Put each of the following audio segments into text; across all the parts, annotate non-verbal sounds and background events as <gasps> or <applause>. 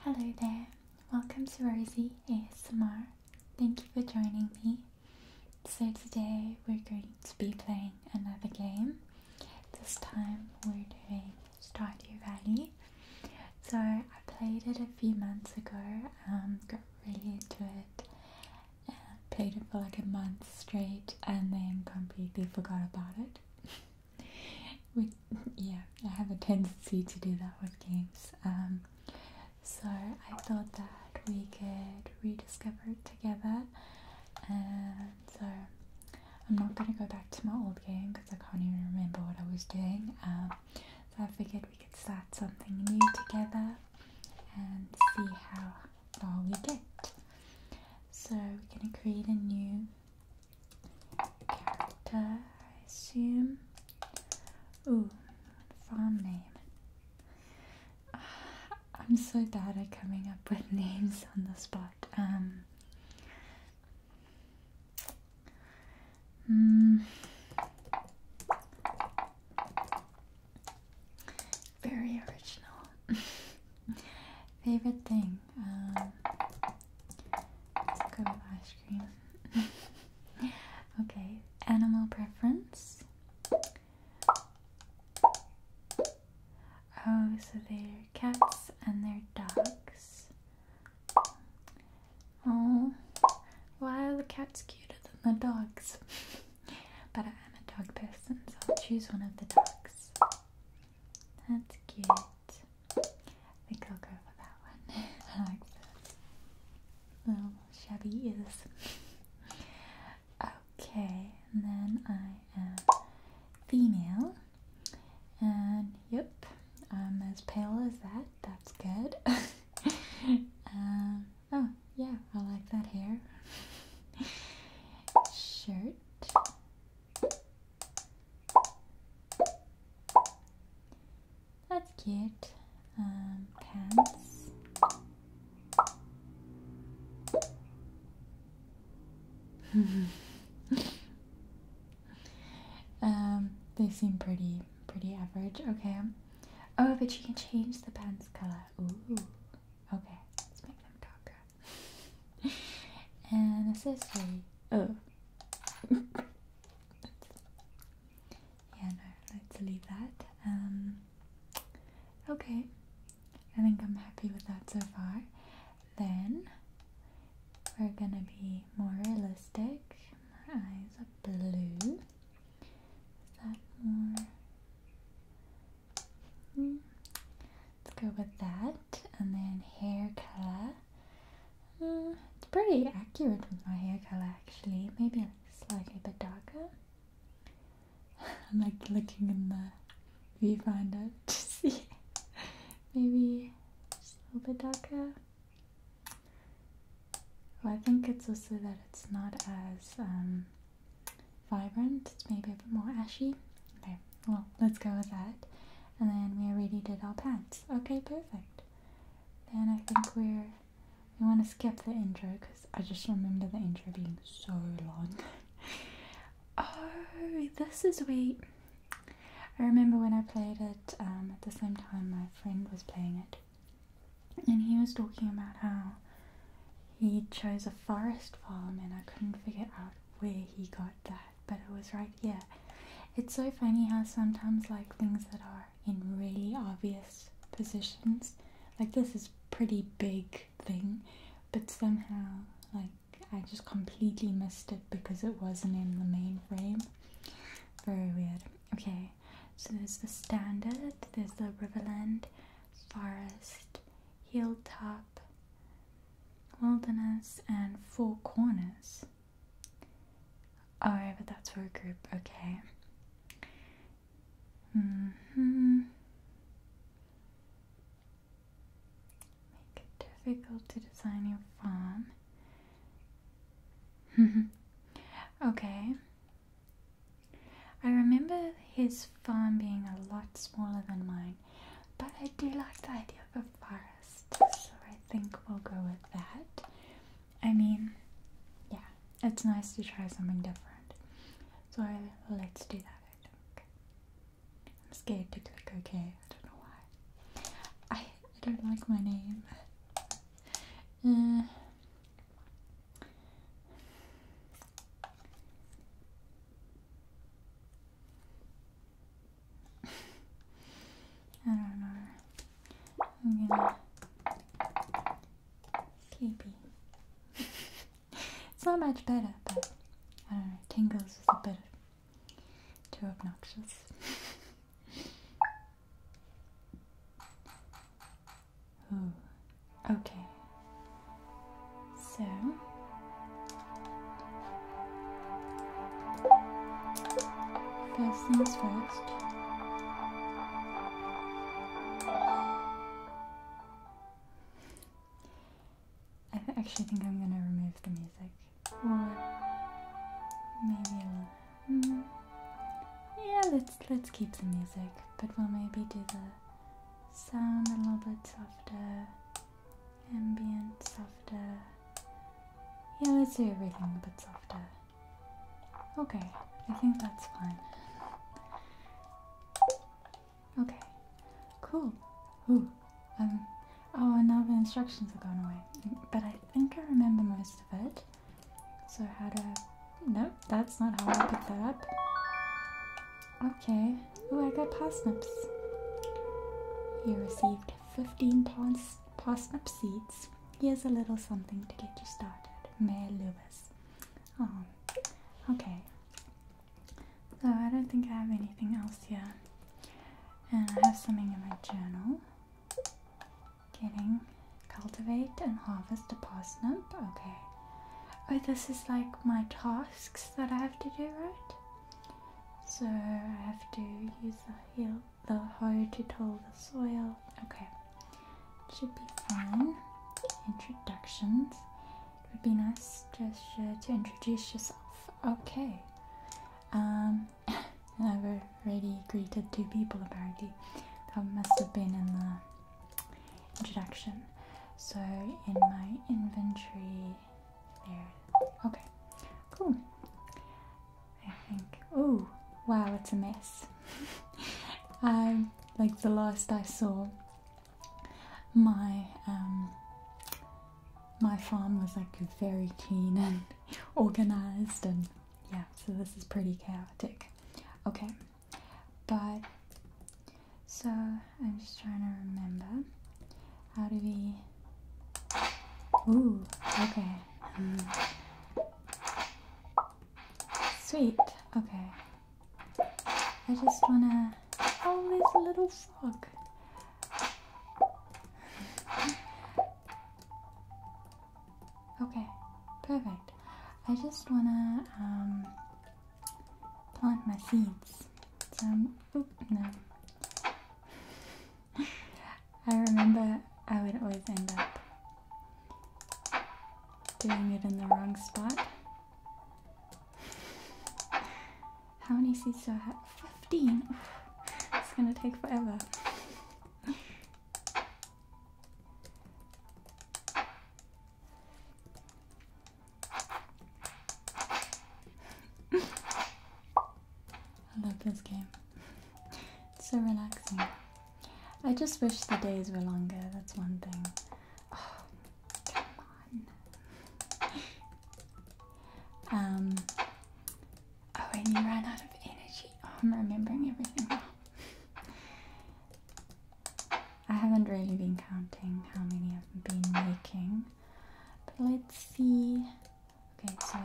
Hello there, welcome to Rosie ASMR. Thank you for joining me. So, today we're going to be playing another game. This time we're doing Stardew Valley. So, I played it a few months ago, um, got really into it, and uh, played it for like a month straight, and then completely forgot about it. <laughs> <laughs> yeah, I have a tendency to do that with games. Um, so I thought that we could rediscover it together. And so I'm not going to go back to my old game because I can't even remember what I was doing. Um, so I figured we could start something new together and see how far we get. So we're going to create a new Potassium. Ooh, farm name. <sighs> I'm so bad at coming up with <laughs> names on the spot. Um. Mm, very original. <laughs> Favorite thing. Um, let's with ice cream. <laughs> okay, animal preference. Oh, so they're cats and they're dogs. Oh, why are the cats cuter than the dogs? <laughs> but I am a dog person, so I'll choose one of the dogs. That's cute. I think I'll go for that one. <laughs> I like the Little shabby ears. okay, and then I am female. And yep, I'm as pale as that. That's good. <laughs> Um, oh, yeah, I like that hair. <laughs> Shirt. That's cute. Um, pants. <laughs> Um, they seem pretty, pretty average. Okay. Oh, but you can change the pants color. Ooh. Okay, let's make them darker. <laughs> and accessory. Oh. <laughs> yeah, no, let's leave that. Um, okay, I think I'm happy with that so far. Then we're gonna be more realistic. My eyes are blue. Is that more? Hmm. Let's go with that. And then hair color. Hmm, it's pretty accurate with my hair color actually. Maybe slightly a bit darker. <laughs> I'm like looking in the viewfinder <laughs> to see. Maybe just a little bit darker. Well, I think it's also that it's not as um, vibrant. It's maybe a bit more ashy. Okay, well, let's go with that. And then we already did our pants. Okay, perfect. Then I think we're we want to skip the intro because I just remember the intro being so long. <laughs> oh, this is where I remember when I played it um, at the same time my friend was playing it, and he was talking about how he chose a forest farm, and I couldn't figure out where he got that, but it was right here. It's so funny how sometimes like things that are in really obvious positions, like this is pretty big thing, but somehow like I just completely missed it because it wasn't in the main frame. Very weird. Okay, so there's the standard, there's the riverland, forest, hilltop, wilderness, and four corners. Oh, Alright, but that's for a group, okay. Mm hmm Make it difficult to design your farm. <laughs> okay. I remember his farm being a lot smaller than mine, but I do like the idea of a forest, so I think we'll go with that. I mean, yeah, it's nice to try something different. So let's do that, I think. I'm scared to click OK, I don't know why. I, I don't like my name. Uh, I don't know. I'm <laughs> it's not much better, but I don't know, tingles is a bit too obnoxious. <laughs> Okay. So First things first. I actually think I'm gonna remove the music. Or maybe a mm, Yeah, let's let's keep the music, but we'll maybe do the sound a little bit softer, ambient softer. Yeah, let's do everything a bit softer. Okay, I think that's fine. Okay, cool. um, oh, and now the instructions are gone away. But I think I remember most of it. So how to... Nope, that's not how I put that up. Okay. Oh, I got parsnips. You received 15 pars parsnip seeds Here's a little something to get you started. Mayor Lewis. Um, okay. So I don't think I have anything else here. And I have something in my journal. Getting cultivate and harvest a parsnip. Okay. Oh, this is like my tasks that I have to do, right? So I have to use the heal the hard to till the soil. Okay, should be fine. Introductions. It would be nice just uh, to introduce yourself. Okay. Um, <laughs> I've already greeted two people apparently. That must have been in the introduction. So in my inventory there. Okay, cool. I think. Oh, wow, it's a mess. I <laughs> um, like the last I saw, my um, my farm was like very clean and <laughs> organized, and yeah, so this is pretty chaotic. Okay, but so I'm just trying to remember how do we. Ooh, okay. Um, Sweet. Okay. I just wanna. Oh, there's a little frog. okay, perfect. I just wanna um, plant my seeds. So, no. I remember I would always end up doing it in the wrong spot. How many seeds do I have? 15! It's gonna take forever. I love this game. It's so relaxing. I just wish the days were longer, that's one thing. <sighs> Um, oh, and you ran out of energy. Oh, I'm remembering everything I haven't really been counting how many I've been making. But let's see. Okay, so.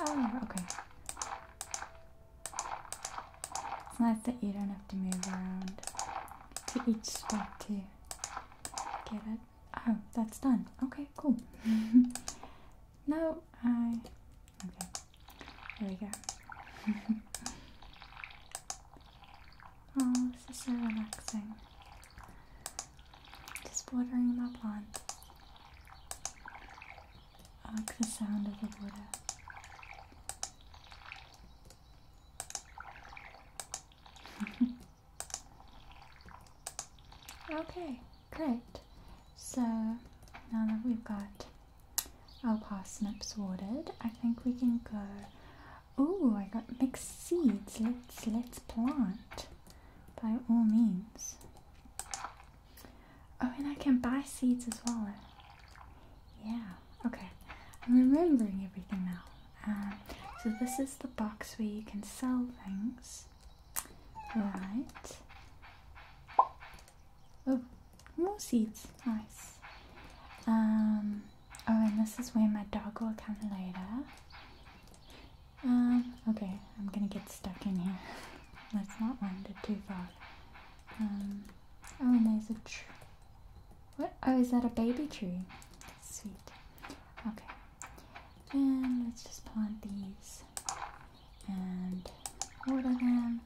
Oh, okay. It's nice that you don't have to move around to each spot to get it. Oh, that's done. Okay, cool. <laughs> no, I. Okay. There we go. <laughs> oh, this is so relaxing. Just watering my plant. I like the sound of the water. <laughs> okay, great. So now that we've got our parsnips watered, I think we can go. Oh, I got mixed seeds. Let's let's plant by all means. Oh, and I can buy seeds as well. Yeah, okay. I'm remembering everything now. Um, so this is the box where you can sell things. Right. Oh, more seeds. Nice. Um, oh, and this is where my dog will come later. Um, okay, I'm gonna get stuck in here. <laughs> Let's not wind it too far. Um, oh, and there's a tree. What? Oh, is that a baby tree? Sweet. Okay. And let's just plant these and water them.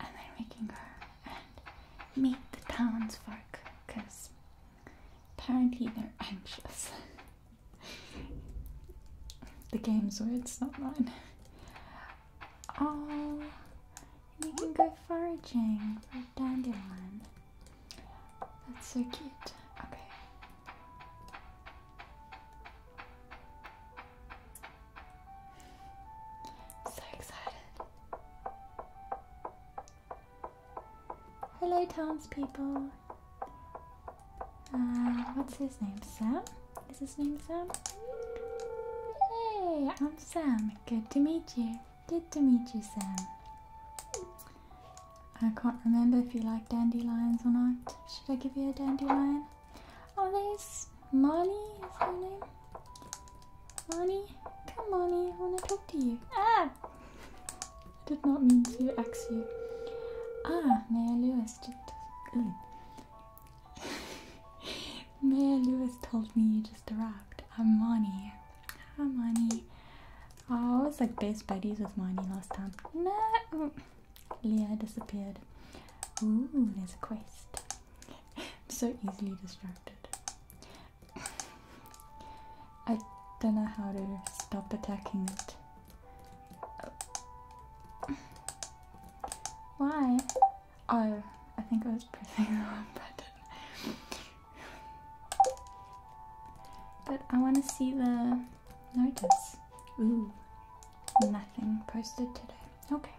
And then we her meet the townsfolk because apparently they're anxious. <laughs> the game's words, not mine. Oh, you can go foraging for a dandelion. That's so cute. Okay. so excited. Hello, townspeople. Uh, what's his name? Sam? Is his name Sam? Hey, I'm Sam. Good to meet you. Good to meet you, Sam. I can't remember if you like dandelions or not. Should I give you a dandelion? Oh, this. Marnie. Is her name? Marnie, come Marnie. I want to talk to you. Ah, I did not mean to ax you. Ah, Mayor Lewis. Just, Mayor Lewis told me you just arrived. i money, Moni. money. Oh, I was like best buddies with money last time. No! Oh, Leah disappeared. Ooh, there's a quest. so easily distracted. I don't know how to stop attacking it. Oh. Why? Oh, I think I was pressing the <laughs> wrong button. but I want to see the notice. Ooh, nothing posted today. Okay,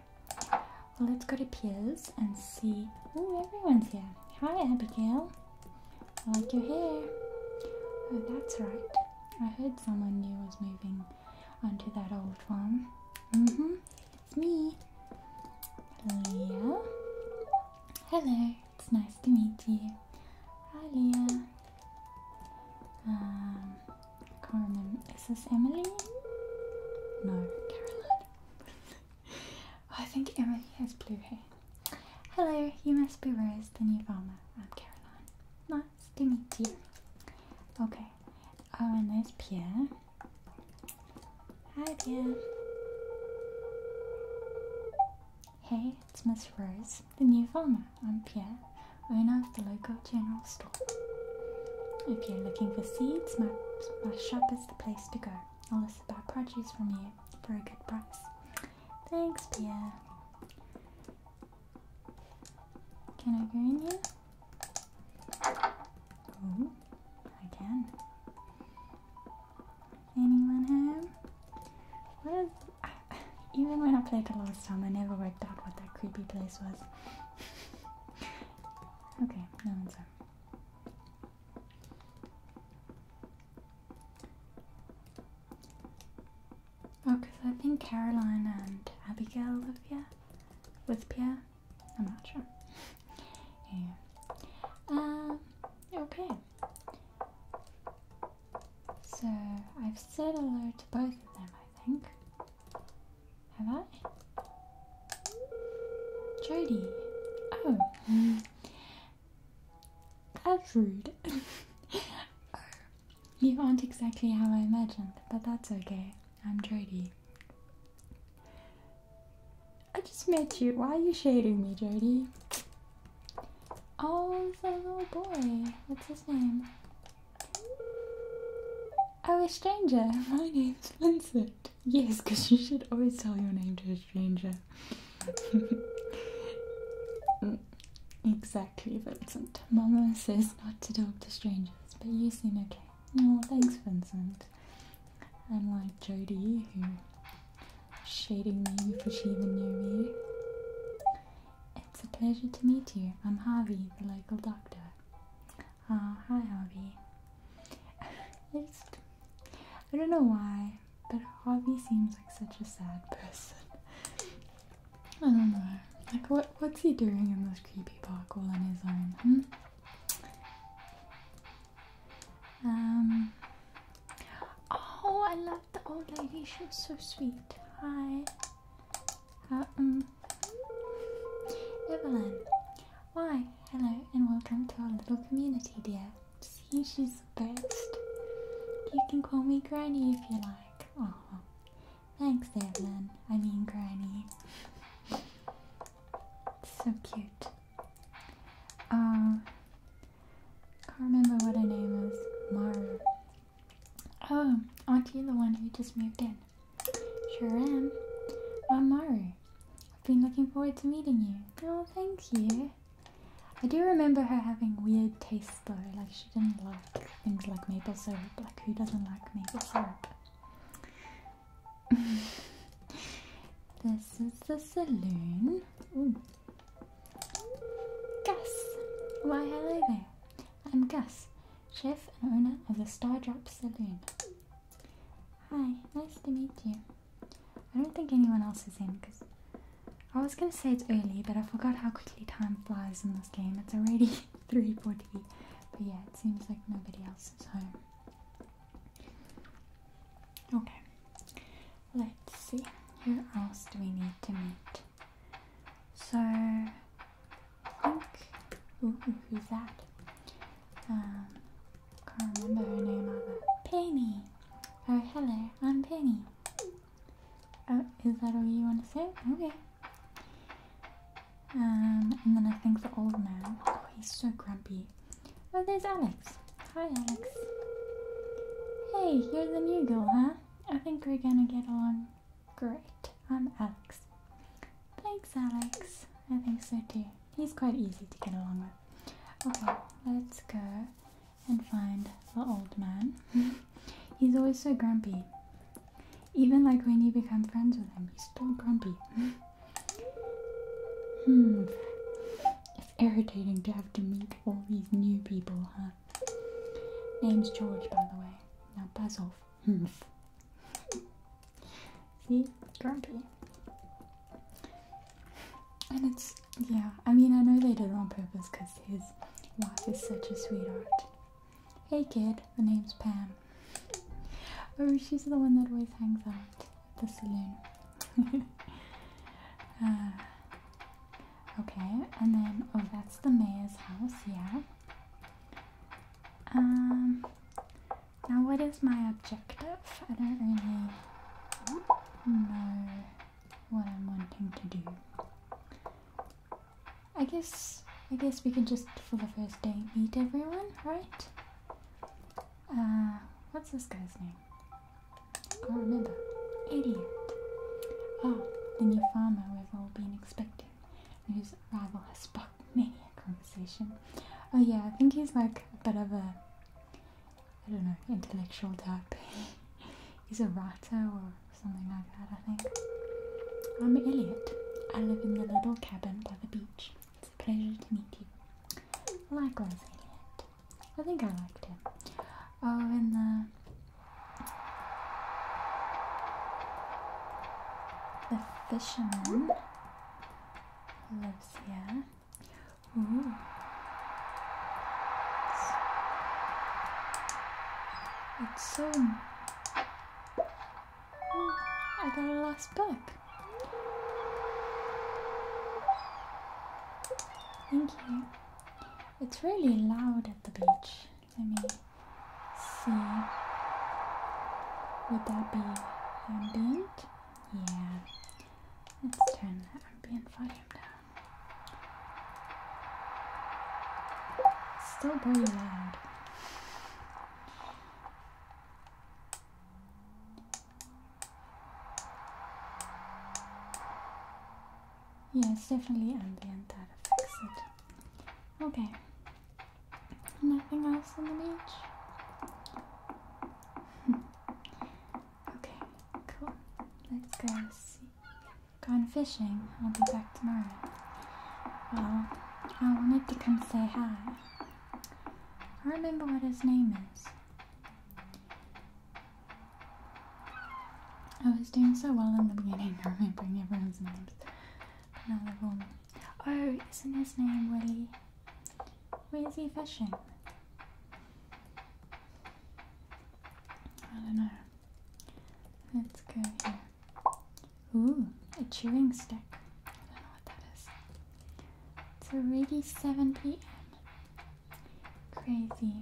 well, let's go to Piers and see. Oh, everyone's here. Hi, Abigail. I like your hair. Oh, that's right. I heard someone new was moving onto that old one. Mm-hmm. It's me. Leah. Hello. It's nice to meet you. Hi Leah. Um Carmen. Is this Emily? No, Caroline. <laughs> I think Emily has blue hair. Hello, you must be Rose, the new farmer. I'm Caroline. Nice to meet you. Okay, Oh, and there's Pierre. Hi, Pierre. Hey, it's Miss Rose, the new farmer. I'm Pierre, owner of the local general store. If you're looking for seeds, my, shop is the place to go. I'll list buy produce from you for a good price. Thanks, Pierre. Can I go in here? Oh, I can. Anyone home? What is, <sighs> even when I played the last time, I never worked out what that creepy place was. <laughs> okay, no one's home. Oh, because I think Caroline and Abigail live here with Pierre. I'm not sure. Yeah. Um, okay. So I've said hello to both of them, I think. Have I? Jodie. Oh. That's rude. <laughs> oh, you aren't exactly how I imagined, but that's okay. I'm Jodie. I just met you. Why are you shading me, Jody? Oh, it's a little boy. What's his name? Oh, a stranger. My name's Vincent. Yes, because you should always tell your name to a stranger. <laughs> exactly, Vincent. Mama says not to talk to strangers, but you seem okay. Oh, thanks, Vincent. And like Jody, who shading me for she even knew me. It's a pleasure to meet you. I'm Harvey, the local doctor. Ah, hi Harvey. <laughs> I I don't know why, but Harvey seems like such a sad person. <laughs> I don't know. Like what what's he doing in this creepy park all on his own? Hmm? Um Oh I love the old lady, She's so sweet. Hi. Uh, mm. Evelyn. Hi. hello and welcome to our little community dear. See she's the best. You can call me Granny if you like. Oh Thanks, Evelyn. I mean, Granny. so cute. Um, can't remember what her name is. Mara. Oh, aren't you the one who just moved in? Sure am. I'm Maru. I've been looking forward to meeting you. Oh, thank you. I do remember her having weird tastes though, like she didn't like things like maple syrup. Like, who doesn't like maple syrup? <laughs> this is the saloon. Gus! Why, hello there. I'm Gus, chef and owner of the Star Drop Saloon. Hi, nice to meet you. I don't think anyone else is in because I was going to say it's early, but I forgot how quickly time flies in this game. It's already <laughs> 3.40 but yeah, it seems like nobody else is home. Okay, let's see. Who else do we need to meet? So, I think. Ooh, who's that? Um, can't remember her name either. Penny! Oh, hello, I'm Penny. Oh, is that all you want to say? Okay. Um, and then I think the old man. Oh, he's so grumpy. Oh, there's Alex. Hi, Alex. Hey, you're the new girl, huh? I think we're gonna get on great. I'm Alex. Thanks, Alex. I think so too. He's quite easy to get along with. Okay, let's go and find the old man. <laughs> He's always so grumpy. Even like when you become friends with him, he's still grumpy. hmm. It's irritating to have to meet all these new people, huh? Name's George, by the way. Now buzz off. Hmm. See? Grumpy. And it's, yeah, I mean, I know they did it on purpose because his wife is such a sweetheart. Hey kid, the name's Pam oh, she's the one that always hangs out at the saloon. <laughs> Uh, okay, and then oh, that's the mayor's house, yeah. Um, now what is my objective? I don't really know what I'm wanting to do. I guess I guess we can just for the first day meet everyone, right? Uh, what's this guy's name? I can't remember. Idiot. Oh, the new farmer we've all been expecting, His arrival has sparked many a conversation. Oh yeah, I think he's like a bit of a, I don't know, intellectual type. <laughs> he's a writer or something like that, I think. I'm Elliot. I live in the little cabin by the beach. It's a pleasure to meet you. Likewise, Elliot. I think I liked him. Oh, and the fisherman who lives here. it's so I got a last book. Thank you. It's really loud at the beach. Let me see. Would that be ambient? Yeah. Let's turn the ambient volume down. It's still pretty loud. Yes, definitely ambient that affects it. Okay. Nothing else on the beach? <laughs> okay, cool. Let's go see. Gone fishing. I'll be back tomorrow. Well, I wanted to come say hi. I remember what his name is. I was doing so well in the beginning, <laughs> remembering everyone's names. Oh, isn't his name Willie? Where is he fishing? I don't know. Let's go here. Ooh, a chewing stick. I don't know what that is. It's already 7 p.m. Crazy.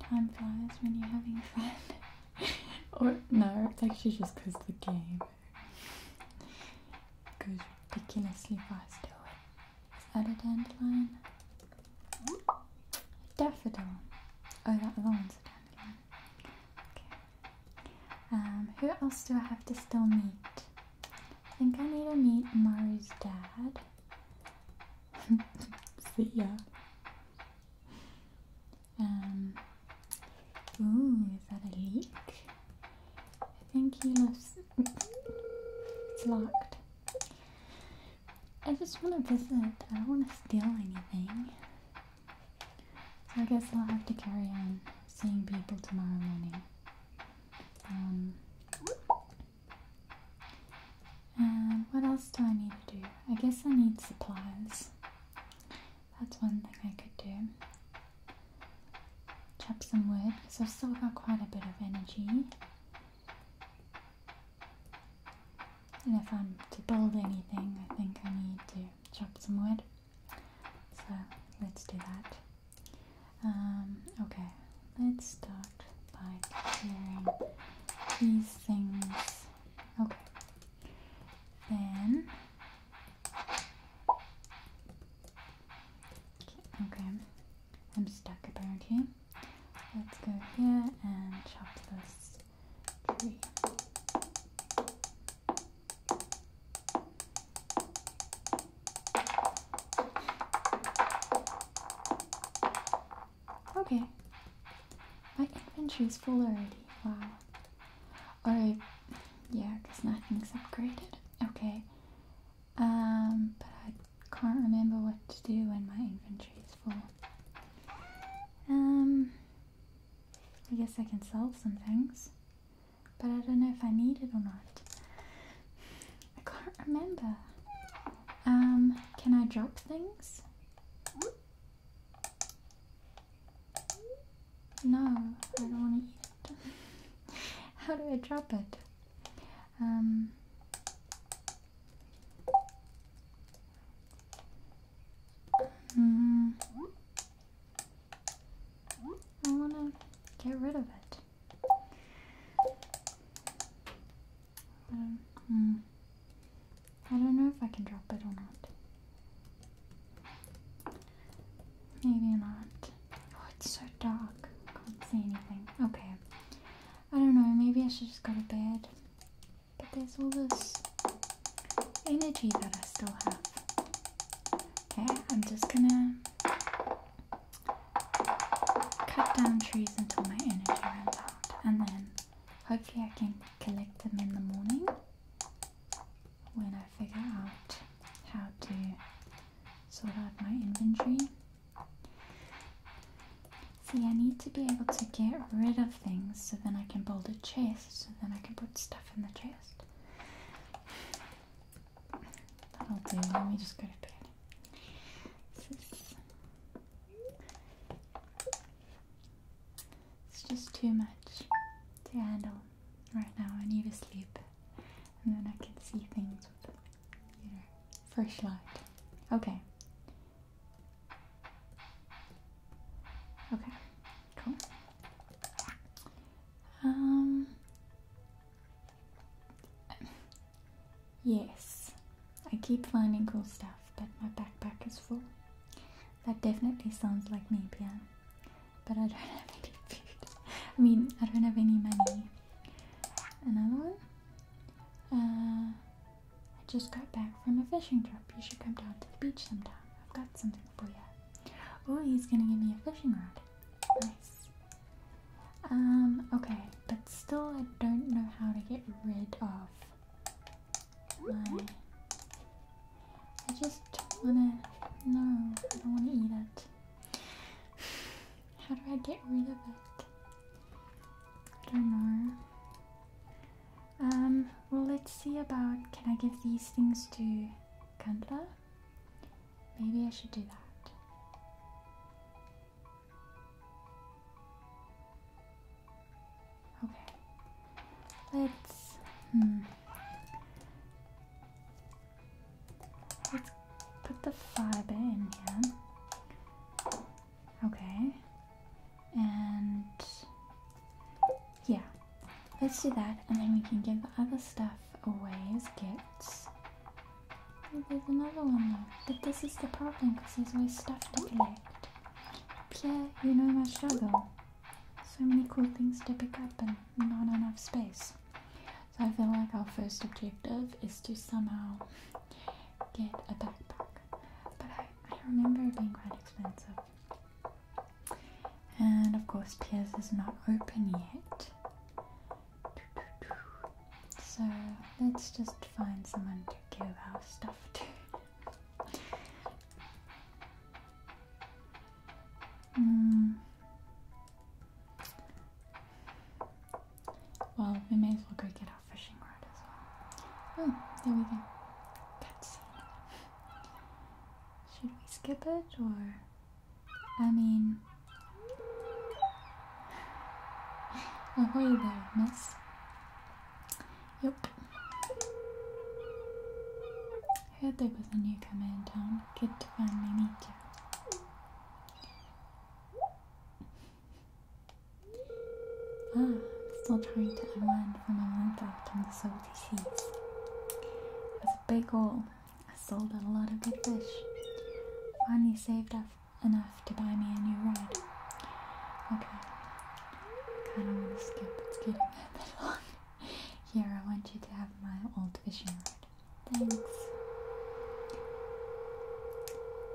Time flies when you're having fun. <laughs> or, no, it's actually just because the game goes ridiculously fast. Is that a dandelion? Daffodil. Oh, that one's a dandelion. Um, who else do I have to still meet? I think I need to meet Maru's dad. <laughs> See ya. Um, ooh, is that a leak? I think he left. It's locked. I just want to visit. I don't want to steal anything. So I guess I'll have to carry on seeing people tomorrow morning. Um, and what else do I need to do? I guess I need supplies. That's one thing I could do. Chop some wood because I've still got quite a bit of energy. And if I'm to build anything, I think I need to chop some wood. So let's do that. Um, okay, let's start by clearing these things. Okay, then. Okay, I'm stuck apparently. Let's go here and chop this tree. Okay. My inventory is full already. Wow. Alright. Yeah, because nothing's upgraded. Okay. Um, but I can't remember what to do when my inventory is full. Um, I guess I can sell some things but I don't know if I need it or not. I can't remember. Um, can I drop things? No, I don't want to eat it. <laughs> How do I drop it? Um, mm, I want to get rid of it. Um, hmm. I don't, know if I can drop it or not. Maybe not. Oh, it's so dark. I can't see anything. Okay. I don't know. Maybe I should just go to bed. But there's all this energy that I still have. Okay, I'm just gonna cut down trees until my energy runs out, and then hopefully I can collect them in the morning when I figure out how to sort out my inventory. See, I need to be able to get rid of things so then I can build a chest, so then I can put stuff in the chest. That'll do. Let me just go to bed. It's just too much to handle right now. I need to sleep, and then I can see things with, you know, fresh light. Okay. Okay. Cool. Um, yes, I keep finding cool stuff, but my backpack is full. That definitely sounds like me, Pia. But I don't <laughs> have any food. I mean, I don't have any money. Another one? Uh, I just got back from a fishing trip. You should come down to the beach sometime. I've got something Oh, he's gonna give me a fishing rod. Nice. Um, okay, but still I don't know how to get rid of my... I just don't wanna... No, I don't wanna eat it. How do I get rid of it? I don't know. Um, well let's see about... Can I give these things to Kanda? Maybe I should do that. Okay. Let's. Hmm. Let's put the fiber in here. Okay. And yeah, Let's do that, and then we can give the other stuff away as gifts. Oh, there's another one though. But this is the problem because there's always stuff to collect. Pierre, you know my struggle. So many cool things to pick up and not enough space. So I feel like our first objective is to somehow get a backpack. But I remember it being quite expensive. And of course, Piers is not open yet. So let's just find someone to give our stuff to. Hmm. Well, we may as well go get our fishing rod as well. Oh, there we go. Should we skip it or I mean... Ahoy there, miss. Yep. Heard there was a newcomer in town. Good to finally meet you. Ah, I'm still trying to unwind from a month out on the salty seas. It was a big haul, I sold a lot of good fish. Finally saved up enough to buy me a new rod. Okay. Kinda wanna skip, it's getting a bit <laughs> long. Here, I want you to have my old fishing rod. Thanks.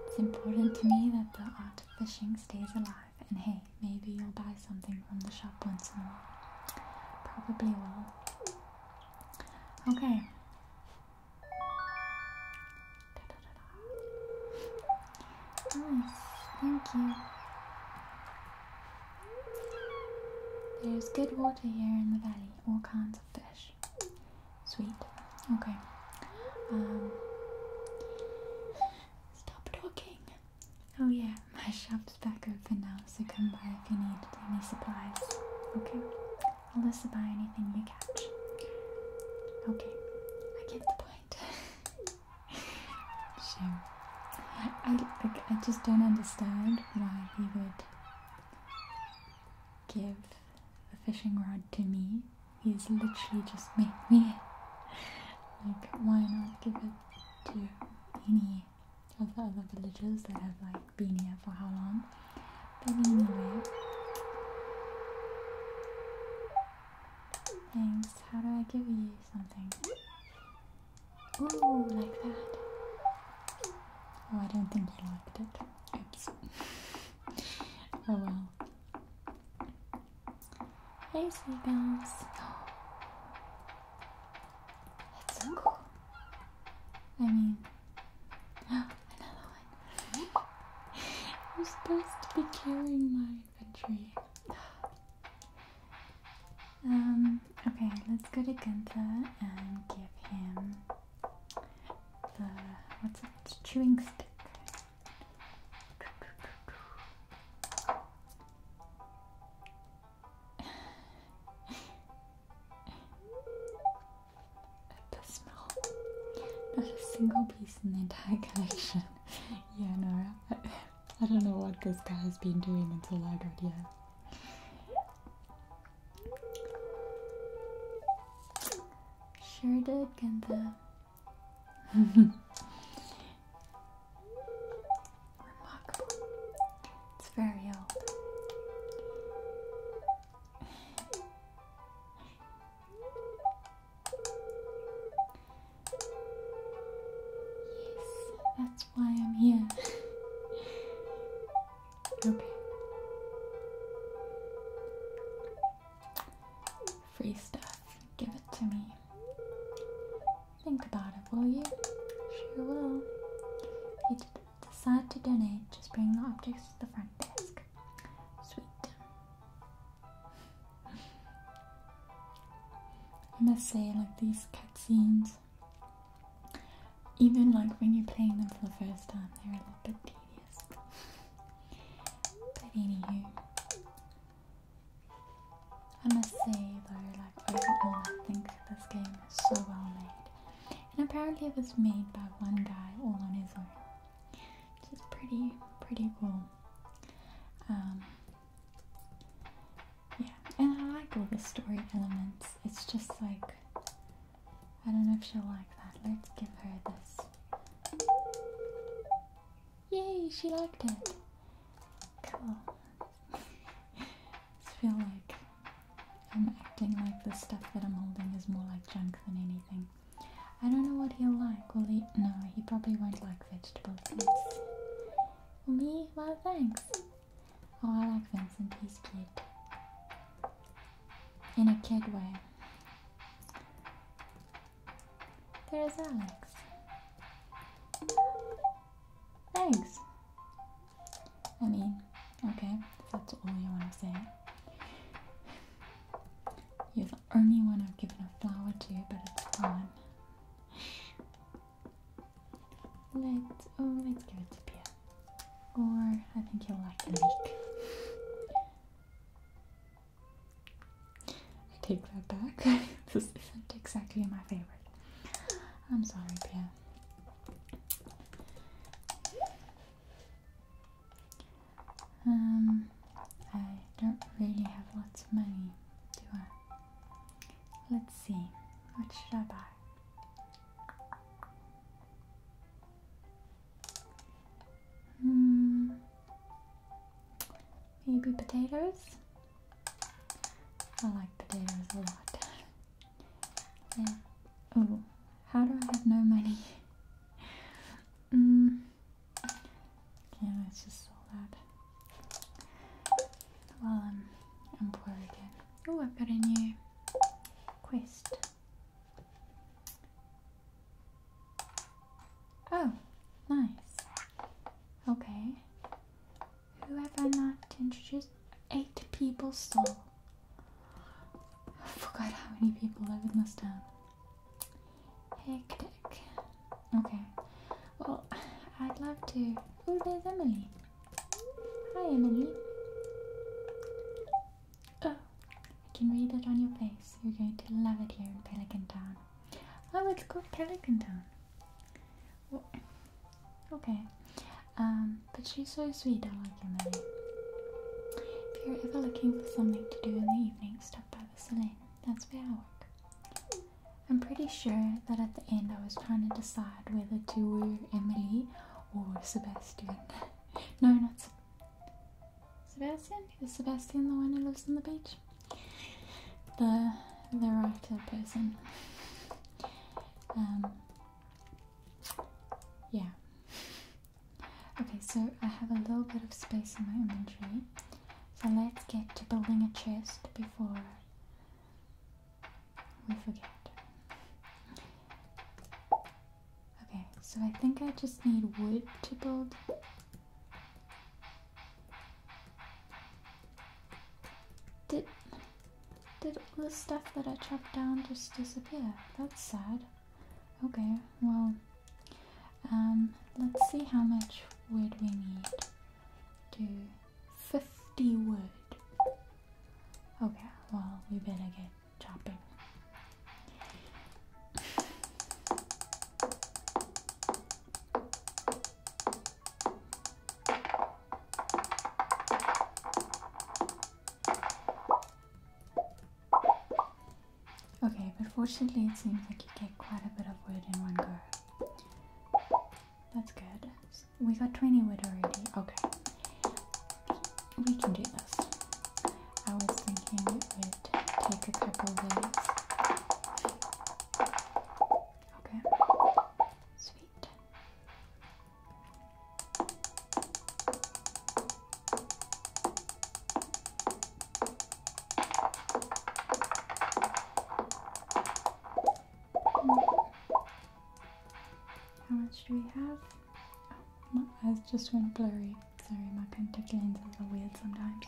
It's important to me that the art of fishing stays alive, and hey, maybe you'll buy something from the shop once in a while. Probably will. Okay. Da, Thank you. There's good water here in the valley, all kinds of fish. Sweet. Okay. Um, stop talking. Oh yeah, <laughs> my shop's it's back open now, so come by if you need any supplies. Okay? I'll listen by anything you catch. Okay, I get the point. <laughs> sure. I, like, I just don't understand why he would give a fishing rod to me. He's literally just <laughs> made me. Like, why not give it to any of the other villagers that have like been here for how long. But anyway. Thanks. How do I give you something? Ooh, like that. Oh, I don't think you liked it. Oops. <laughs> oh well. Hey, sweet bells. <gasps> cool. I mean, <gasps> another one. I'm <gasps> supposed to be carrying my inventory. <gasps> Um, okay, let's go to Gunther and give him the, what's it, chewing stick. Not a single piece in the entire collection. <laughs> yeah, no, I, don't know what this guy has been doing until I got here. Sure did, Ginther. <laughs> Remarkable. It's very old. Yes, that's why I'm here. Okay. Free stuff. Give it to me. Think about it, will you? Sure will. Decide to donate, just bring the objects to the front desk. Sweet. I must say, like these cutscenes, even like when you're playing them for the first time, they're a little bit tedious. But anywho, I must say though, like overall, I think this game is so well made and apparently it was made by one guy all on his own which is pretty pretty cool um, yeah and i like all the story elements it's just like i don't know if she'll like that let's give her this yay she liked it cool <laughs> I feel like I'm acting like the stuff that I'm holding is more like junk than anything. I don't know what he'll like. Will he? No, he probably won't like vegetables. For Me? Well, thanks. Oh, I like Vincent. He's cute. In a kid way. There's Alex. Thanks. I mean, okay, that's all you want to say. You're the only one I've given a flower to, but it's fine. let oh, let's give it to Pierre. Or I think he'll like the leek. I take that back. <laughs> this isn't exactly my favorite. I'm sorry, Pierre. Um, I don't really have lots of money, do I? Let's see, what should I buy? Hmm, maybe potatoes? I like potatoes a lot. <laughs> Oh, how do I have no money? <laughs> mm. Yeah, let's just sell that. Well, I'm poor again. Oh, I've got a new quest. Oh, nice. Okay. Who have I not introduced? Eight people still. I forgot how many people live in this town. Hectic. Okay. Well, I'd love to. Oh, there's Emily. Hi, Emily. Oh, I can read it on your face. You're going to love it here in Pelican Town. Oh, it's called Pelican Town. Okay. Um, but she's so sweet, I like her name. If you're ever looking for something to do in the evening, stop by the salon. That's where I work. I'm pretty sure that at the end I was trying to decide whether to wear Emily or Sebastian. <laughs> no, not Sebastian. Sebastian? Is Sebastian the one who lives on the beach? The the writer person. <laughs> Um, yeah. Okay, so I have a little bit of space in my inventory. So let's get to building a chest before we forget. Okay, so I think I just need wood to build. Did, did all the stuff that I chopped down just disappear? That's sad. Okay, well, um, let's see how much wood we need Do 50 wood. Okay, well, we better get chopping. Okay, but fortunately it seems like you get quite a bit of wood in one go. That's good. We got 20 wood already. Okay. We can do this. I was thinking it would take a couple days. Okay. Sweet. How much do we have? Oh, my eyes just went blurry. Sorry, my contact lens is a little weird sometimes.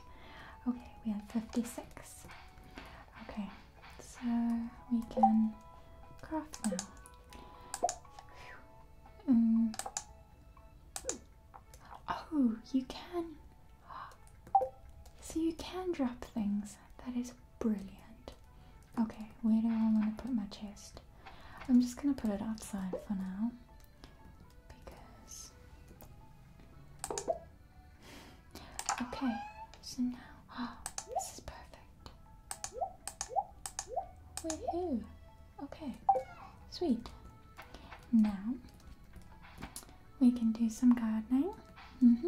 Okay, we have 56. Okay, so we can craft now. Mm. Oh, you can. So you can drop things. That is brilliant. Okay, where do I want to put my chest? I'm just going to put it outside for now. Because. Okay, so now. <gasps> this is perfect. Woohoo! Okay, sweet. Now we can do some gardening. Mm-hmm.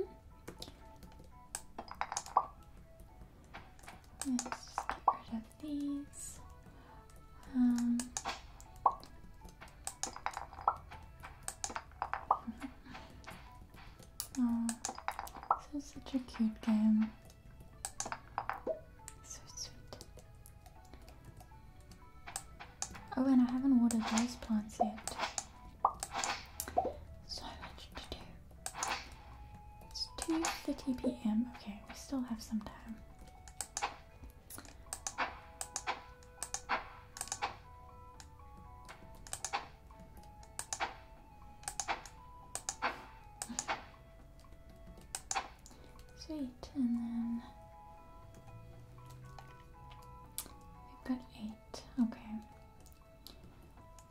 Let's get rid of these. oh, <laughs> this is such a cute game. Oh, and I haven't watered those plants yet. So much to do. It's 2.30 p.m. Okay, we still have some time. Sweet, and then we've got eight. Okay.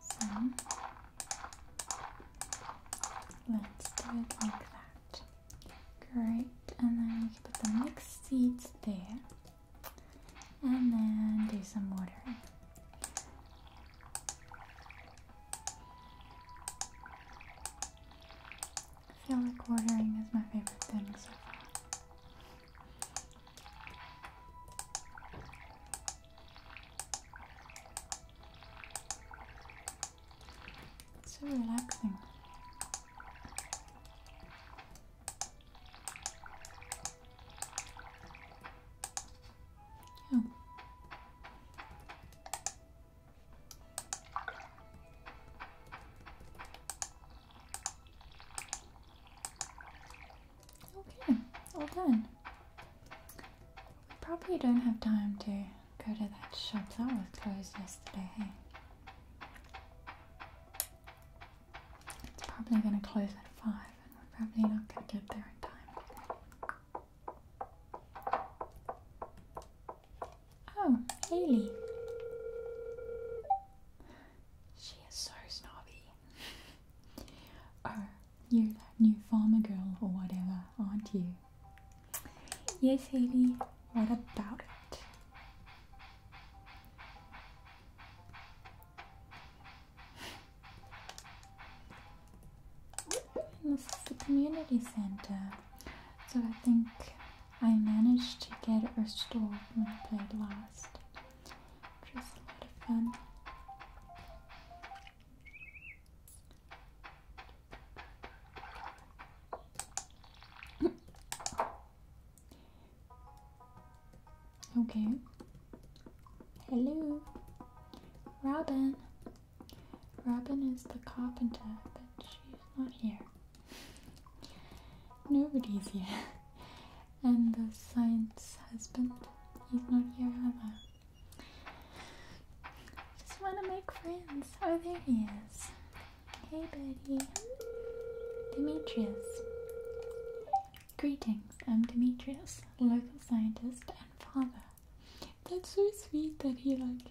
So let's do it like that. Great, and then we can put the mixed seeds there. And then do some watering. I feel like watering is my favorite thing so far. so relaxing. Yeah. Oh. Okay, all done. We probably don't have time to go to that shop. That was closed yesterday, It's probably going to close at 5 and we're probably not going to get there in time. Oh, Haley. She is so snobby. <laughs> oh, you're that new farmer girl or whatever, aren't you? Yes, Haley. What about it? this is the community center. So I think I managed to get it restored when I played last. Which a lot of fun. Okay. Hello, Robin. Robin is the carpenter, but she's not here. Nobody's here. And the science husband, he's not here either. I Just want to make friends. Oh, there he is. Hey, buddy. Demetrius. Greetings, I'm Demetrius, local scientist and father. That's so sweet that he like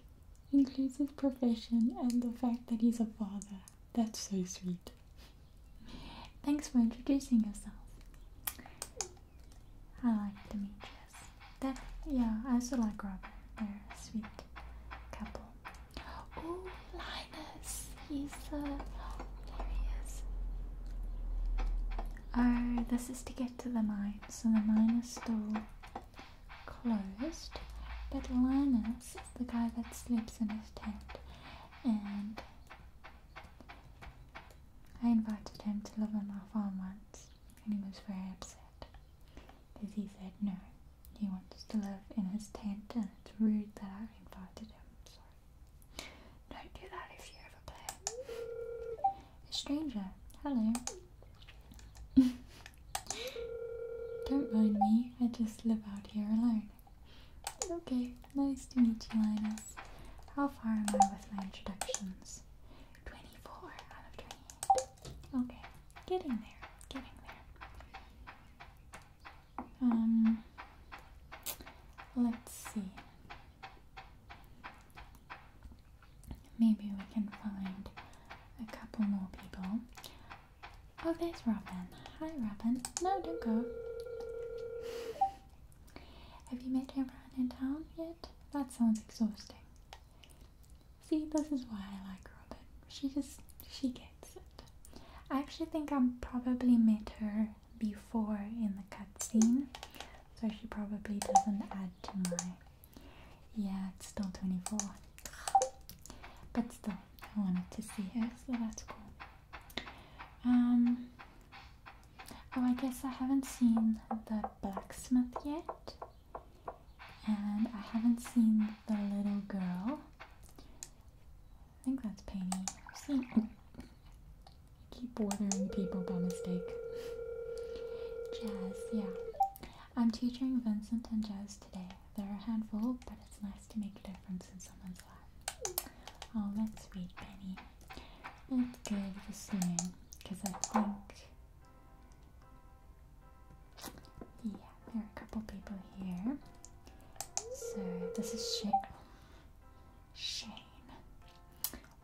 includes his profession and the fact that he's a father. That's so sweet. Thanks for introducing yourself. I like Demetrius. That yeah, I also like Robert. They're a sweet couple. Oh, Linus. He's uh, there he is. Oh, this is to get to the mine. So the mine is still closed, but Linus is the guy that sleeps in his tent, and I invited him to live on our farm once, and he was very upset because he said no, he wants to live in his tent, and it's rude that I invited him. Sorry, don't do that if you ever play. A stranger. Hello. Don't mind me, I just live out here alone. Okay, nice to meet you, Linus. How far am I with my introductions? 24 out of 28. Okay, getting there, getting there. Um, let's see. Maybe we can find a couple more people. Oh, there's Robin. Hi, Robin. No, don't go. Have you met everyone in town yet? That sounds exhausting. See, this is why I like Robin. She just, she gets it. I actually think I have probably met her before in the cutscene, so she probably doesn't add to my yeah, it's still 24. But still, I wanted to see it, so that's cool. Um, oh, I guess I haven't seen the blacksmith yet. And I haven't seen the little girl. I think that's Penny. Oh, i keep ordering people by mistake. Jazz, yeah. I'm teaching Vincent and Jez today. They're a handful, but it's nice to make a difference in someone's life. Oh, that's sweet, Penny. It's good for soon, because I think... Yeah, there are a couple people here. So, this is Shane. Shane.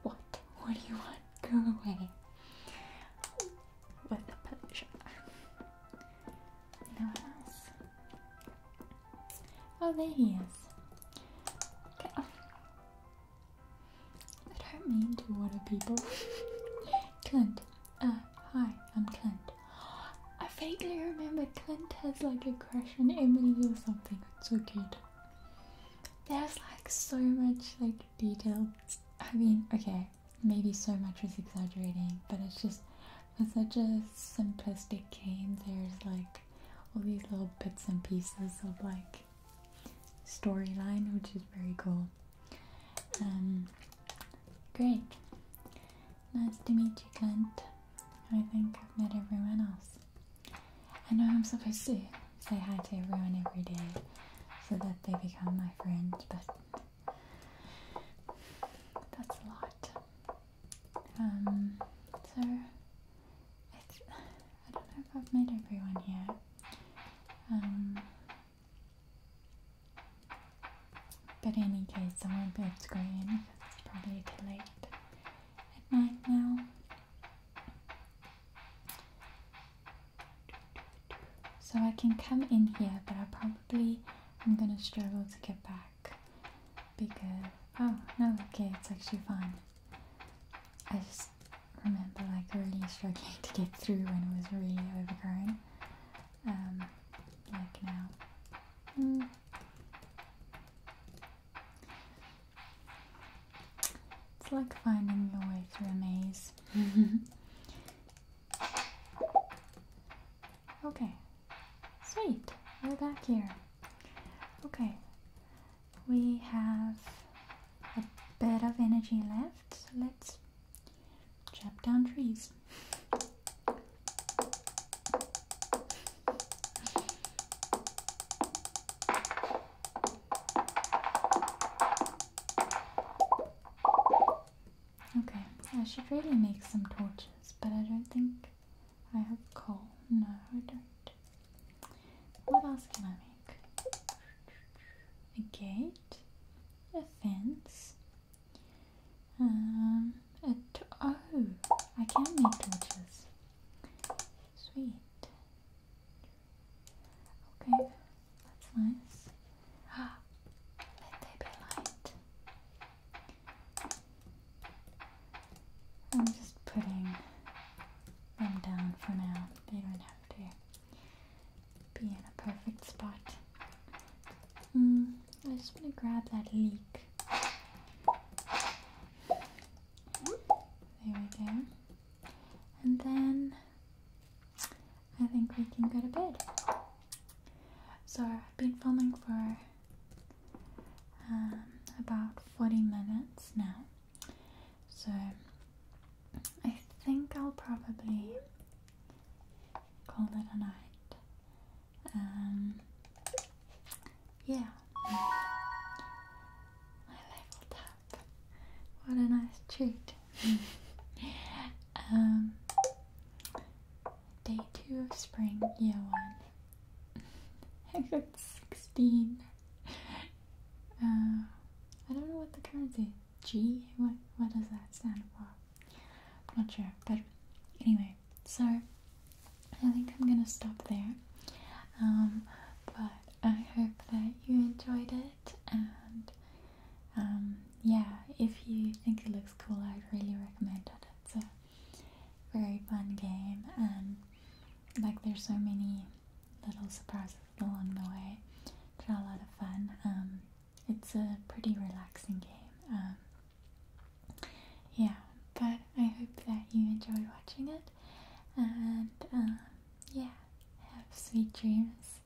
What? What do you want? Go away with the pleasure. No one else. Oh, there he is. I don't mean to water people. Clint. Uh, hi, I'm Clint. I vaguely remember Clint has like a crush on Emily or something. It's so cute. There's like so much like detail. I mean, okay, maybe so much is exaggerating, but it's just for such a simplistic game, there's like all these little bits and pieces of like storyline, which is very cool. Um, great. Nice to meet you, Clint. I think I've met everyone else. I know I'm supposed to say hi to everyone every day, so that they become my friends, but that's a lot. Um, so it's, I don't know if I've made everyone here. Um, but in any case, I won't be able to go in because it's probably too late at night now. So I can come in here, but I probably am gonna struggle to get back because oh no, okay, it's actually fine. I just remember like really struggling to get through when it was really overgrown, um, like now. Hmm. It's like finding your way through a maze. <laughs> Okay, sweet, we're back here. Okay, we have a bit of energy left, so let's chop down trees. Okay, I should really make some torches, but I don't think I have coal. No, I don't. What else can I make? A gate, a fence, um, a t oh, I can make torches. Sweet. Okay, that's nice. Ah, let there be light. I'm just putting them down for now. They don't have to be in a perfect spot. Mm, I just want to grab that leak. There we go. And then I think we can go to bed. So I've been filming for um, about 40 minutes now. So I think I'll probably call it a night. Um, yeah. My level tap. What a nice treat. <laughs> Um, day two of spring, year one. <laughs> I got 16. Uh, I don't know what the currency is. G? What, what does that stand for? I'm not sure, but anyway, so I think I'm gonna stop there. Um, but I hope that you enjoyed it and um, yeah, if you think it looks cool, I'd really recommend it. It's a very fun game, and like there's so many little surprises along the way It's a lot of fun. Um, it's a pretty relaxing game. Um, yeah, but I hope that you enjoyed watching it, and yeah, have sweet dreams.